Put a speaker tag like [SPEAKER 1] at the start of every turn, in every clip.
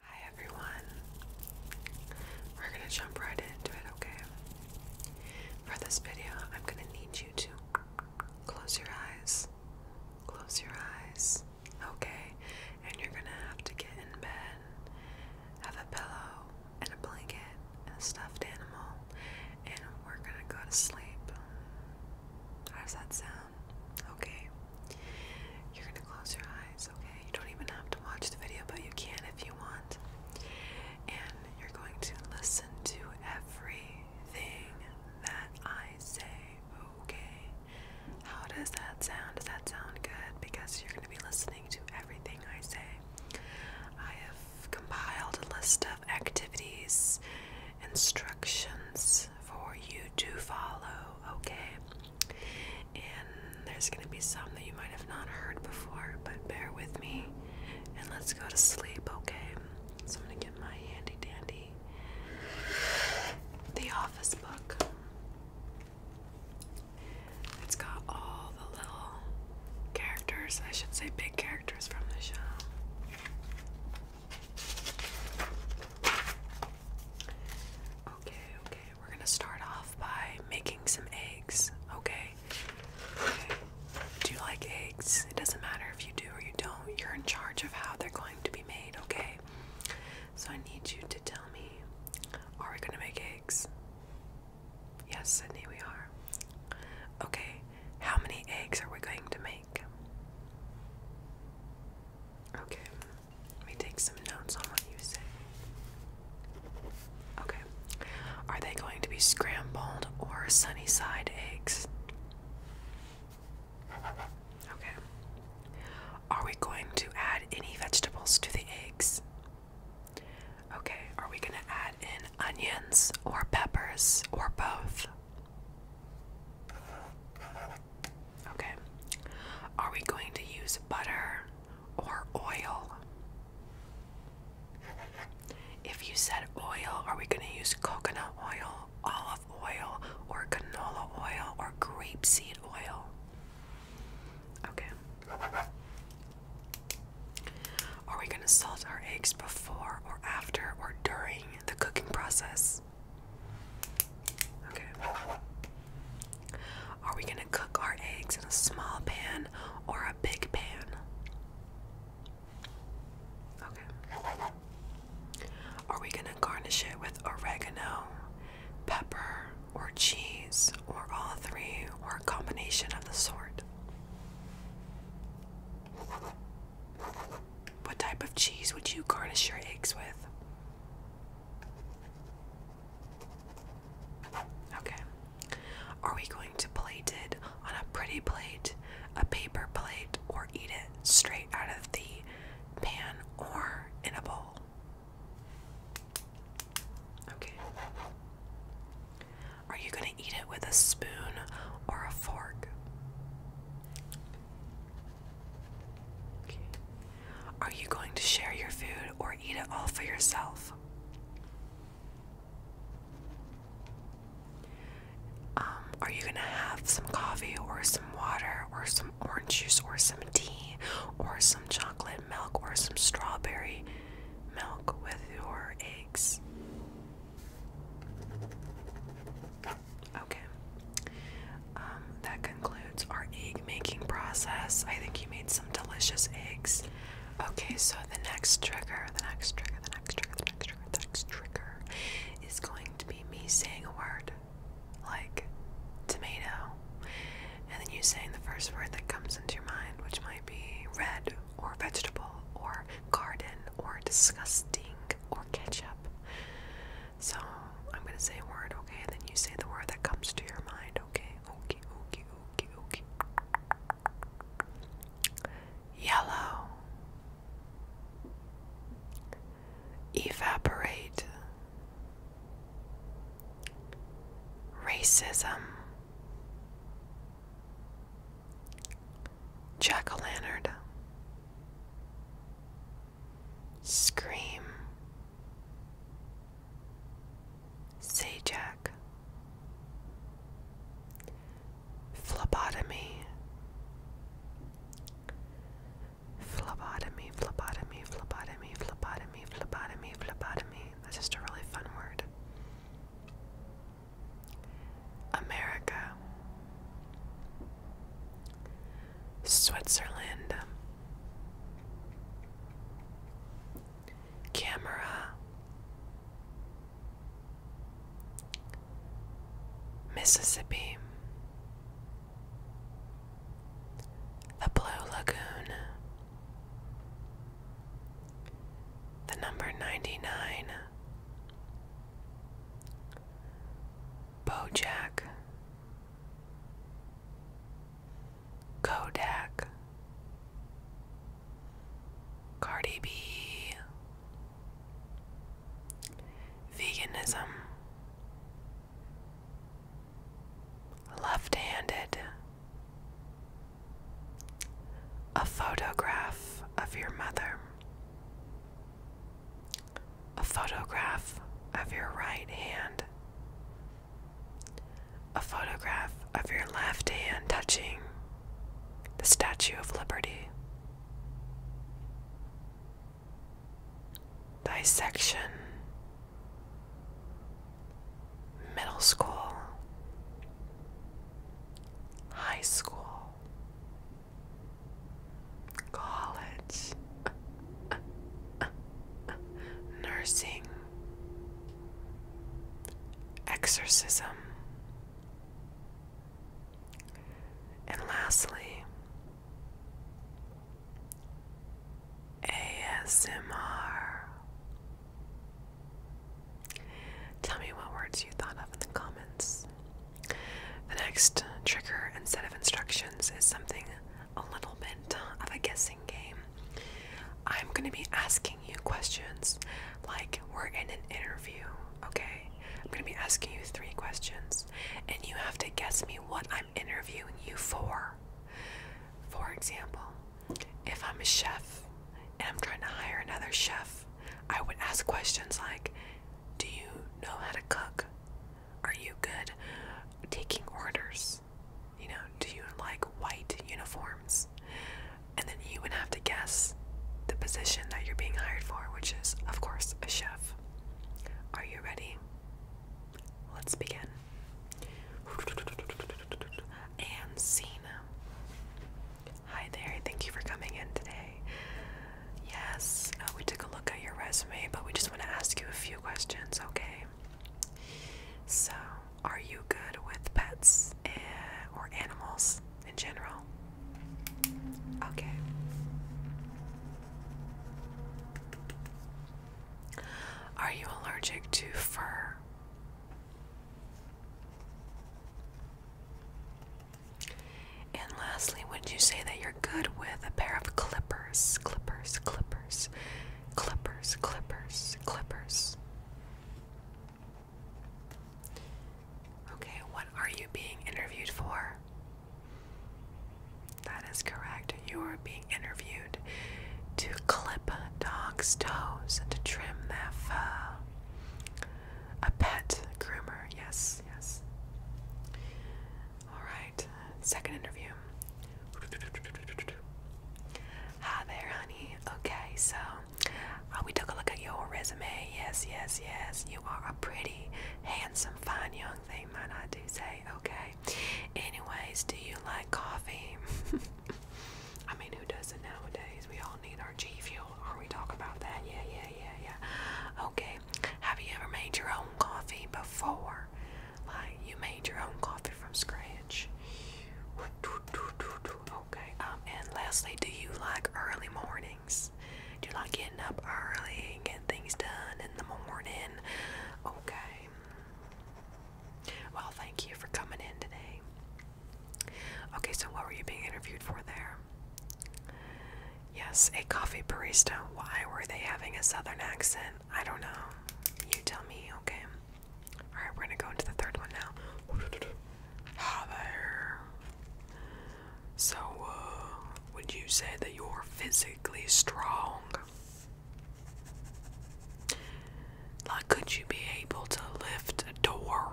[SPEAKER 1] Hi everyone. We're going to jump right into it, okay? For this video, I'm going to need you to close your eyes. Close your eyes. Okay. And you're going to have to get in bed, have a pillow and a blanket and a stuffed animal, and we're going to go to sleep. How does that sound? okay? You're gonna close your eyes, okay? You don't even have to watch the video, but you can if you want. And you're going to listen to everything that I say, okay? How does that sound? Does that sound good? Because you're gonna be listening to everything I say. I have compiled a list of activities, instructions for you to follow, okay? And there's going to be some that you might have not heard before, but bear with me and let's go to sleep, okay? So I'm going to get my handy dandy The Office book. It's got all the little characters, I should say big characters from the show. Okay, okay, we're gonna start off by making some eggs, okay? Do you like eggs? It doesn't matter if you do or you don't, you're in charge of how they're going to be made, okay? So I need you to tell me are we gonna make eggs? Yes, Sydney, we are. Okay, how many eggs are we going to make? Okay, let me take some notes on what you say. Okay. Are they going to be scrambled or sunny side eggs? Okay. Are we going to add any vegetables to the eggs? Okay. Are we going to add in onions or peppers or both? Okay. Are we going to use butter or oil? If you said oil, are we going to use coconut oil, olive oil, or canola oil, or grapeseed oil? Okay. Are we going to salt our eggs before or after or during the cooking process? this. Okay. Are we going to cook our eggs in a small pan or a big pan? Okay. Are we going to garnish it with oregano, pepper, or cheese, or all three, or a combination of the sort? What type of cheese would you garnish your eggs with? Okay. Are we going to plate it on a pretty plate, a paper plate, or eat it straight out of the pan or in a bowl? Okay. Are you going to eat it with a spoon or a fork? Are you going to share your food or eat it all for yourself? Um, are you going to have some coffee or some water or some orange juice or some tea or some chocolate milk or some strawberry milk with your eggs? Okay. Um, that concludes our egg making process. I think you made some delicious eggs. Okay, so the next trigger, the next trigger, the next trigger, the next trigger, the next trigger is going to be me saying a word like tomato. And then you saying the first word that comes into your mind, which might be red or vegetable or garden or disgusting or ketchup. So I'm gonna say a word, okay? And then you say the word that comes to your mind, okay? Okay, okay, okay, okay. Yellow. Evaporate. Racism. Jack o' lantern. Scream. Say Jack. Phlebotomy. Phlebotomy, phlebotomy, phlebotomy, phlebotomy, phlebotomy, That's just a really fun word. America, Switzerland, Camera, Mississippi, the Blue Lagoon, the number ninety nine. Bojack Kodak Cardi B Veganism Left handed a photograph of your mother. A photograph of your right hand. A photograph of your left hand touching the Statue of Liberty. Dissection. Middle school. High school college, nursing, exorcism, and lastly, ASMR. Tell me what words you thought of in the comments. The next trigger and set of instructions is something a little bit uh, of a guessing game. I'm going to be asking you questions like we're in an interview, okay? I'm going to be asking you three questions, and you have to guess me what I'm interviewing you for. For example, if I'm a chef and I'm trying to hire another chef, I would ask questions like, Do you know how to cook? Are you good taking orders? You know, do you like white uniforms? And then you would have to guess the position that you're being hired for, which is, of course, a chef. Are you ready? Let's begin. And scene. Hi there, thank you for coming in today. Yes, uh, we took a look at your resume, but we just want to ask you a few questions, okay? So, are you good with pets and, eh, or animals in general? Okay. Are you allergic to fur? And lastly, would you say that you're good with a pair of clippers? Clippers, clippers, clippers, clippers, clippers. Okay, what are you being interviewed for? That is correct. You are being interviewed to clip dog's toes and to trim their fur. A pet groomer, yes, yes. Alright, second interview. Hi there, honey. Okay, so uh, we took a look at your resume. Yes, yes, yes. You are a pretty, handsome, fine young thing, might I do say. Okay. Anyways, do you like coffee? I mean, who doesn't nowadays? We all need our G Fuel. Are we talking about that? Yeah, yeah, yeah, yeah. Okay. Have you ever made your own coffee before? Like, you made your own coffee from scratch? Okay. Um, and lastly, do you like early mornings? Do you like getting up early and getting things done in the morning? Okay. Well, thank you for coming in today. Okay, so what were you being interviewed for there? Yes, a coffee barista. Why were they having a southern accent? I don't know. You tell me, okay. Alright, we're gonna go into the third one now. Hi there. So, uh, would you say that you're physically strong? Like, could you be able to lift a door?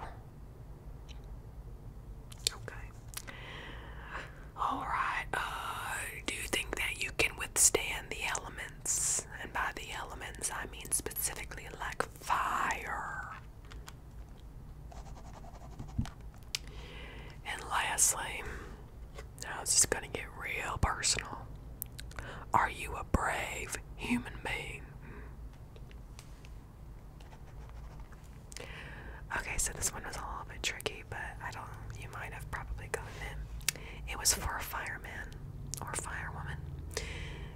[SPEAKER 1] Okay. Alright, uh, do you think that you can withstand the elements? And by the elements, I mean specifically like fire. And lastly, now it's just gonna get real personal. Are you a brave human being? Okay, so this one was a little bit tricky, but I don't. You might have probably gotten it. It was for a fireman or firewoman.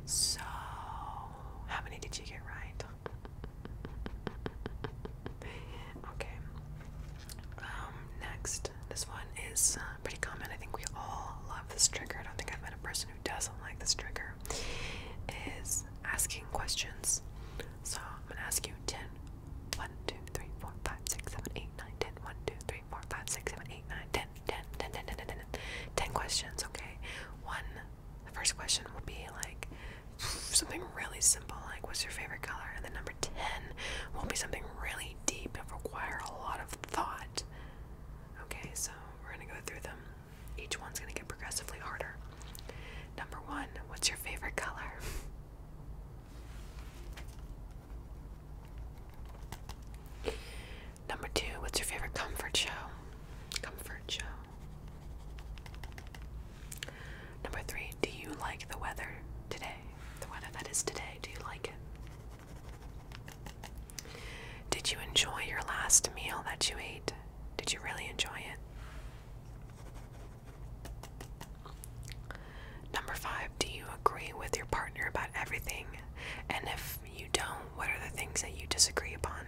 [SPEAKER 1] So, how many did you get right? okay. Um, next, this one is pretty common. I think we all love this trigger. I don't think I've met a person who doesn't like this trigger. Is asking questions. So I'm gonna ask you 10, 1, 2, 3, 4, 5, 6, 7, 8, 9, 10, 10, 10, 10, 10 questions, okay? One, the first question will be like something really simple, like what's your favorite color? And then number 10 will be something really deep and require a lot of thought. Okay, so we're gonna go through them. Each one's gonna get progressively harder. Number one, what's your favorite color? Number two, what's your favorite comfort show? Comfort show. Number three, do you like the weather today? The weather that is today, do you like it? Did you enjoy your last meal that you ate? Did you really enjoy it? Number five, do you agree with your partner about everything? And if you don't, what are the things that you disagree upon?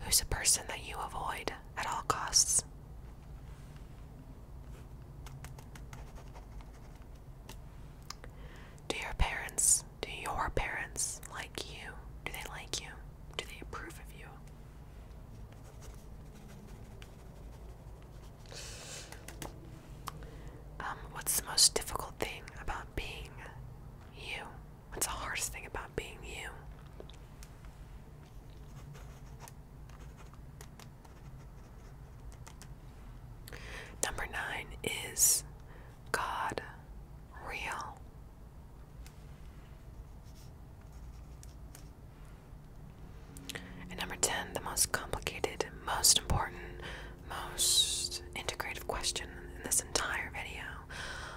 [SPEAKER 1] Who's a person that you avoid at all costs? Do your parents, do your parents like you? Do they like you? Do they approve of you? Um, what's the most difficult thing about being you? What's the hardest thing about being you? Number nine is God real. And number 10, the most complicated, most important, most integrative question in this entire video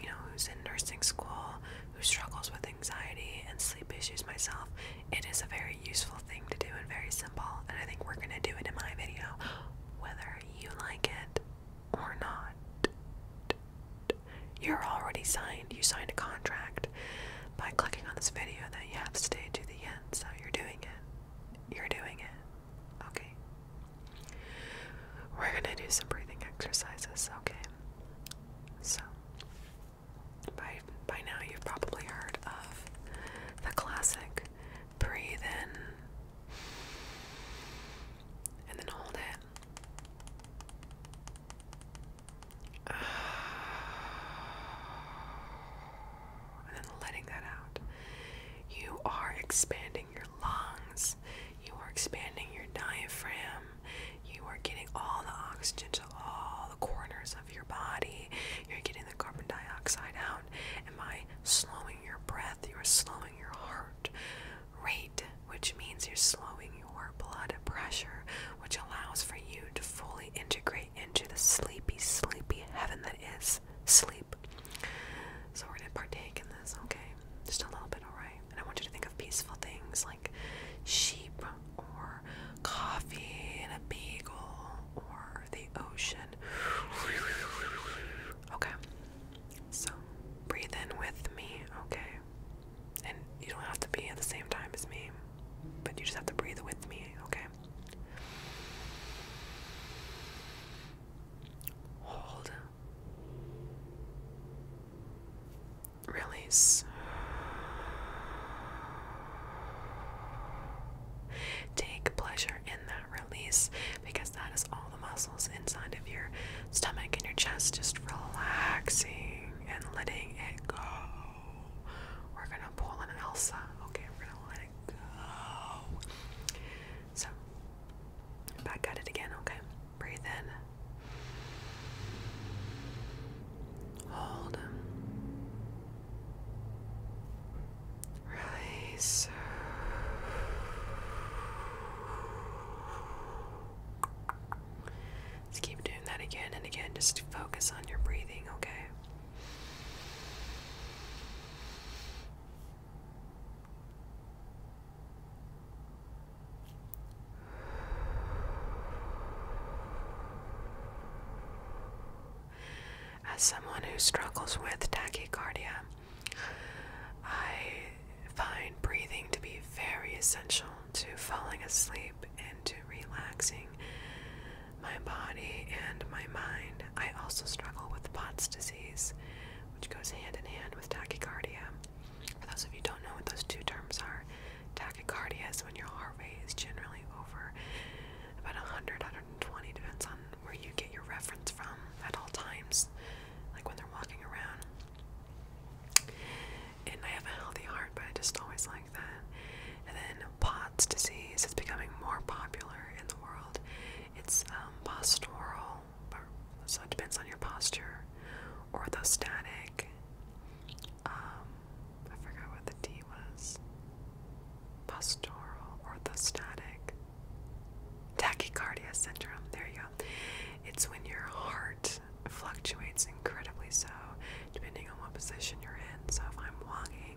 [SPEAKER 1] you know, who's in nursing school, who struggles with anxiety and sleep issues myself, it is a very useful thing to do and very simple. And I think we're going to do it in my video, whether you like it or not. You're already signed. You signed a contract by clicking on this video that you have to stay to the end. So you're doing it. You're doing it. Okay. We're going to do some breathing exercises, okay? So, by, by now you've probably heard of the classic breathe in and then hold it. And then letting that out. You are expanding your lungs, you are expanding your diaphragm, you are getting all the oxygen to all the corners of your body, you're getting the carbon dioxide out, and by slowing your breath, you are slowing your heart rate, which means you're slowing your blood pressure, which allows for you to fully integrate into the sleepy, sleepy heaven that is sleep. So we're gonna partake in this, okay? Just a little bit, alright? And I want you to think of peaceful things like sheep or coffee and a bagel or the ocean. Okay. So breathe in with me, okay? And you don't have to be at the same time as me, but you just have to breathe with me, okay? Hold. Release. Take pleasure in that release because that is all the muscles inside of your stomach and your chest just relaxing and letting it go. We're gonna pull an Elsa. Okay, we're gonna let let it go. So, back at it again, okay? Breathe in. Hold. Release. Let's keep doing that again and again. Just focus on your breathing, okay? As someone who struggles with tachycardia, I find breathing to be very essential to falling asleep and to relaxing my body and my mind. I also struggle with POTS disease, which goes hand in hand with tachycardia. For those of you who don't know what those two terms are, tachycardia is when your heart rate is generally over about 100, 120, depends on where you get your reference from at all times, like when they're walking around. And I have a healthy heart, but I just always like that. And then POTS disease is becoming more popular in the world. It's um, postural, so it depends on your posture. Orthostatic. Um, I forgot what the D was. Postural, orthostatic. Tachycardia syndrome. There you go. It's when your heart fluctuates incredibly so, depending on what position you're in. So if I'm walking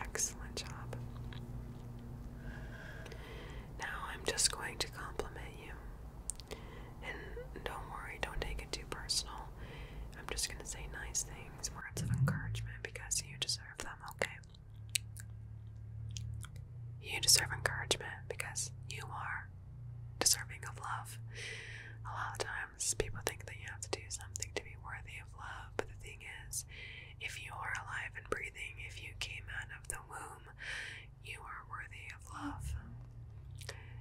[SPEAKER 1] Excellent job. Now I'm just going to compliment you. And don't worry, don't take it too personal. I'm just going to say nice things, words of encouragement, because you deserve them, okay? You deserve encouragement because you are deserving of love. A lot of times people think that you have to do something to be worthy of love, but the thing is, if you are alive and breathing, if you came out of the womb, you are worthy of love.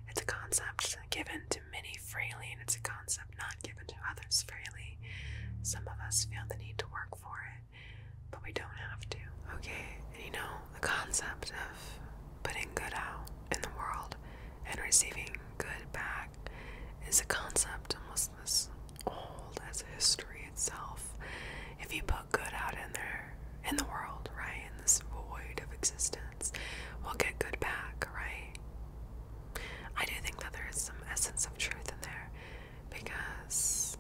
[SPEAKER 1] It's a concept given to many freely, and it's a concept not given to others freely. Some of us feel the need to work for it but we don't have to. Okay, and you know, the concept of putting good out in the world and receiving good back is a concept almost as old as history itself. If you put good out in there, in the world, right, in this void of existence, we'll get good back, right? I do think that there is some essence of truth in there because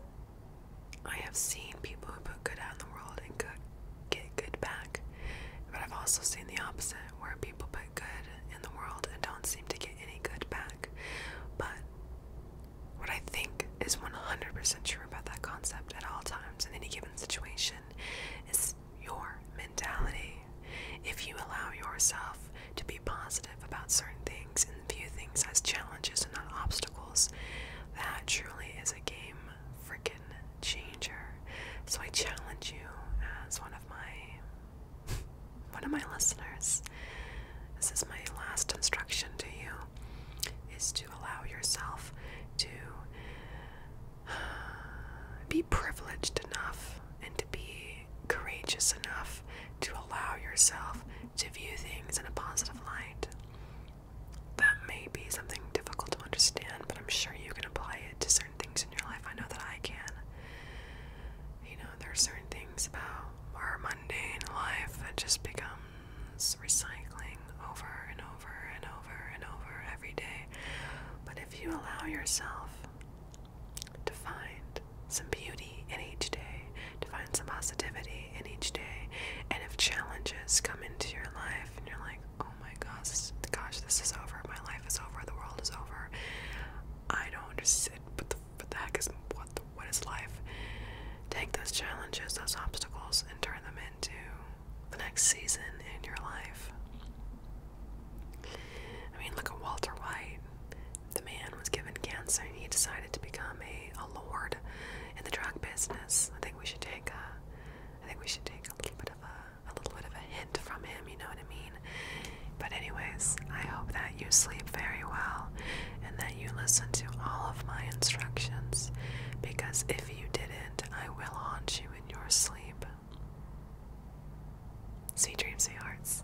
[SPEAKER 1] I have seen people who put good out in the world and get good back, but I've also seen the opposite where people put good in the world and don't seem to get any good back. But what I think is 100% true about that concept at all times in any given situation is your mentality. If you allow yourself to be positive about certain things, and view things as challenges and not obstacles. That truly is a game freaking changer. So I challenge you as one of my one of my listeners. This is my last instruction to you is to allow yourself to uh, be privileged enough and to be courageous enough to allow yourself to view things in a positive light. That may be something difficult to understand, but I'm sure you can apply it to certain things in your life. I know that I can. You know, there are certain things about our mundane life that just becomes recycling over and over and over and over every day. But if you allow yourself to find some beauty in each day, to find some positivity in each day. And if challenges come into your life and you're like, oh my gosh, gosh, this is over, my life is over, the world is over. I don't understand what the, heck is what what is life? Take those challenges, those obstacles, and turn them into the next season in your life. I mean, look at Walter White. The man was given cancer and he decided to become a, a lord in the drug business. I think we should take a, I think we should take a little bit of a, a little bit of a hint from him. You know what I mean? But anyways, I hope that you sleep very well and that you listen to all of my instructions because if you didn't, I will haunt you in your sleep. See dreams, see hearts.